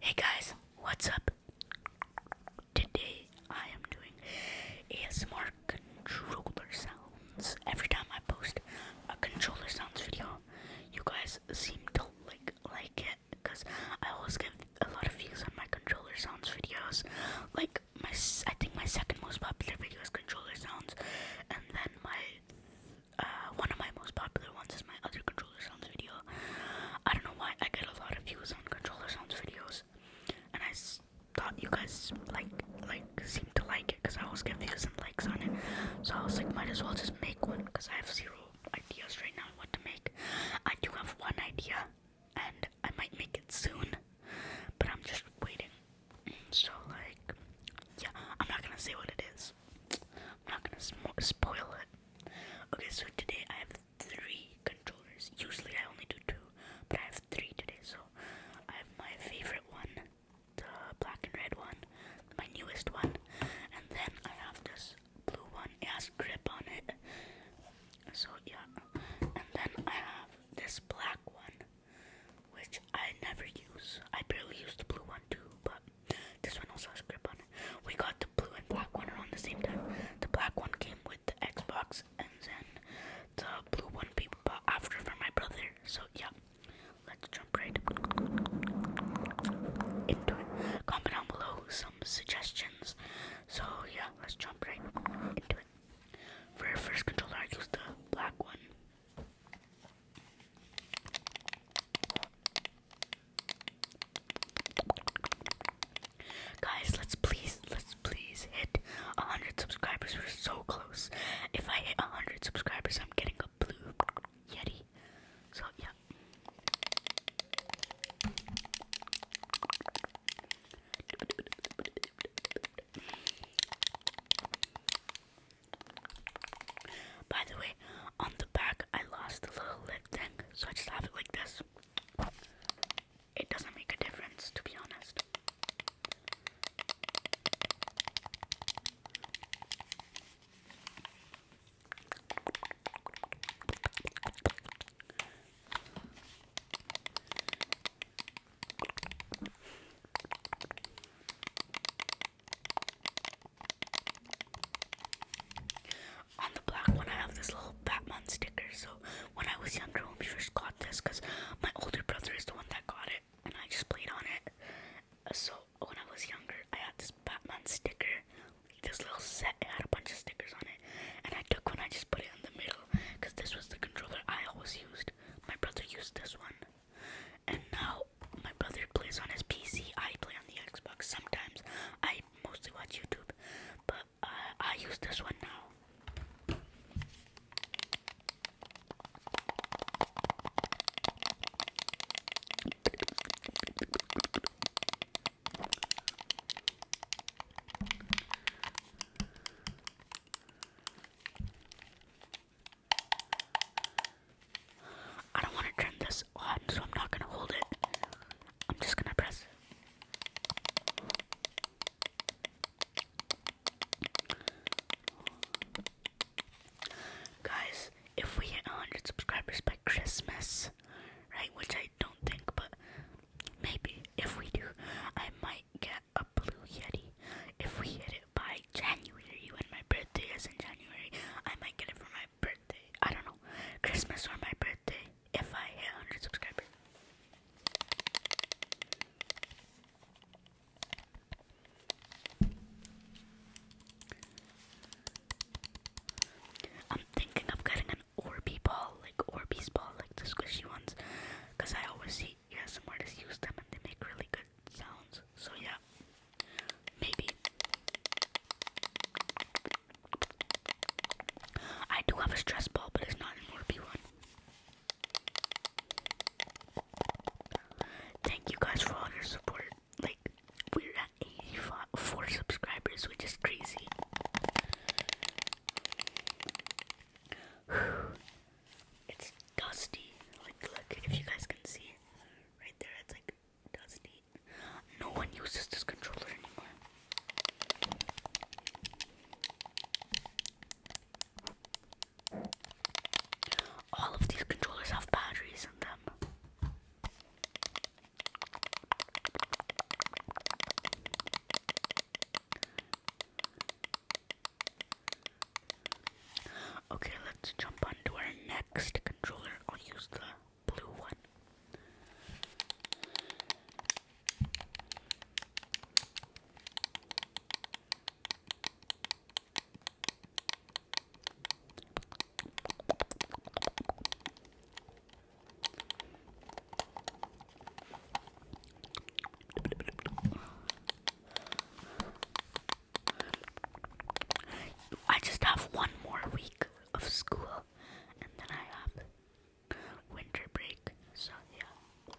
Hey guys, what's up? Today I am doing ASMR controller sounds. Every time I post a controller sounds video, you guys seem to like like it because I always get a lot of views on my controller sounds videos. Like my I think my second most popular video is controller sounds, and then my uh, one of my most popular ones is my other controller sounds video. I don't know why I get a lot of views on controller sounds videos, and I thought you guys like like seemed to like it because I always get views and likes on it. So I was like, might as well just make one because I have zero ideas right now what to make. I do have one idea, and I might make it soon, but I'm just waiting. So like, yeah, I'm not gonna say what it is. I'm not gonna spoil it. Okay, so today I have three controllers. Usually I only do two, but I have three today. So I have my favorite one, the black and red one, my newest one, and then I have this blue one. It has grip on it. So yeah, and then I have this black one which I never use. I barely use the blue one too, but this one also has grip on it. We got the blue and black one around the same time. The black one came with the Xbox, and then the blue one people bought after for my brother. So yeah, let's jump right into it. Comment down below some suggestions. So yeah, let's jump right into it. For first controller, I used the black one. Guys, let's please, let's please hit 100 subscribers. We're so close. If I hit 100 subscribers, I'm getting a blue Yeti. So, yeah. By the way, on the back I lost a little lip thing, so I just have it like this. It doesn't make a difference, to be honest. On the black one, I have this little Batman sticker. So when I was younger, when we first got this, because my older brother is the one that got it, and I just played on it. So when I was younger, I had this Batman sticker, this little set. had a bunch of stickers on it, and I took one. I just put it in the middle, because this was the controller I always used. My brother used this one. And now my brother plays on his PC. I play on the Xbox. Sometimes I mostly watch YouTube, but uh, I use this one now. I don't want to turn this on, so I'm not going to hold it. I'm just going to press Guys, if we hit 100 subscribers by Christmas, right, which I don't think, but maybe if we do, I might get a blue yeti. If we hit it by January, when my birthday is in January, I might get it for my birthday. I don't know, Christmas or my birthday. If I hit 100 subscribers. I'm thinking of getting an Orby ball, like Orbeez ball, like the squishy ones, because I always see yeah, some artists use them and they make really good sounds. So yeah, maybe. I do have a stress ball, but it's not an Orby one. Thank you guys for all your support. Like, we're at 84 subscribers, which is crazy. It's dusty. Like, look, if you guys can see, right there, it's like dusty. No one uses this controller anymore. All of these controllers have batteries in them. Okay, let's jump on to our next controller. I'll use the blue one. I just have one more week of school and then I have winter break. So, yeah.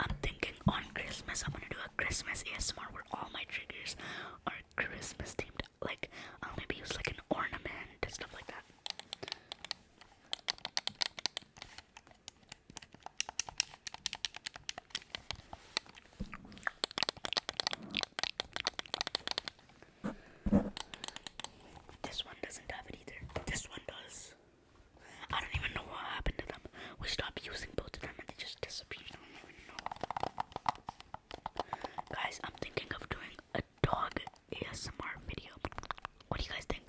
I'm thinking on Christmas, I'm gonna do a Christmas ASMR where all my triggers are Christmas themed. Like, I'll maybe use like an ornament and stuff like that. This one doesn't have it either. This one does. I don't even know what happened to them. We stopped using both of them and they just disappeared. I don't even know. Guys, I'm thinking of doing a dog ASMR video. What do you guys think?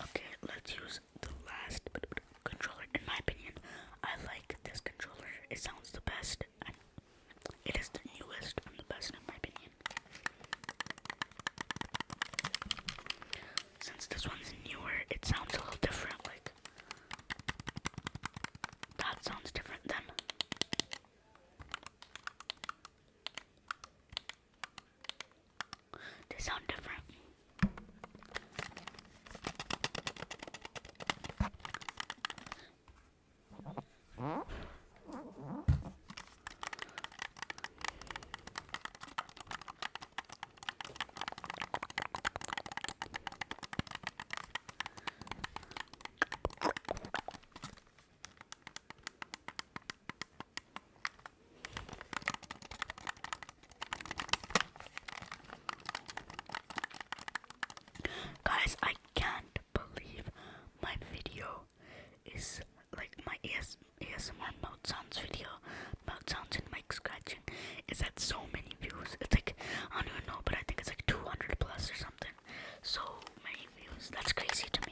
Okay, let's use the last controller. In my opinion, I like this controller. It sounds the best, and it is the newest and the best in my opinion since this one's newer, it sounds a little different. Like, that sounds different than. They sound different. Guys, I can't believe my video is like my AS ASMR mouth sounds video, mouth sounds and mic scratching is at so many views. It's like, I don't know, but I think it's like 200 plus or something. So many views. That's crazy to me.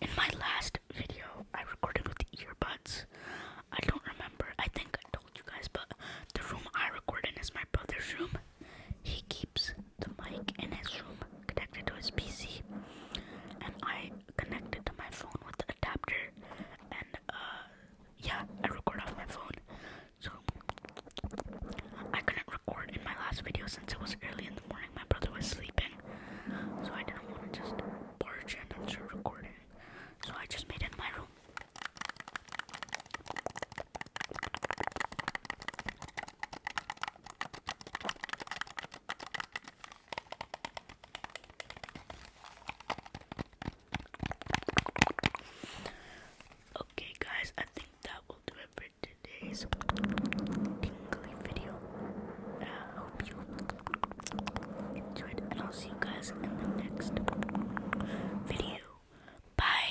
In my last video, I recorded with earbuds. I don't remember. I think I told you guys, but the room I recorded in is my brother's room. He keeps the mic in his room connected to his PC, and I connected to my phone with the adapter, and uh, yeah, I record off my phone. So I couldn't record in my last video since it was early in the morning. My brother was sleeping, so I didn't want to just barge and start recording. So I just made in my room. Okay, guys, I think that will do it for today's tingly video. I hope you enjoyed, and I'll see you guys in the next video. Bye.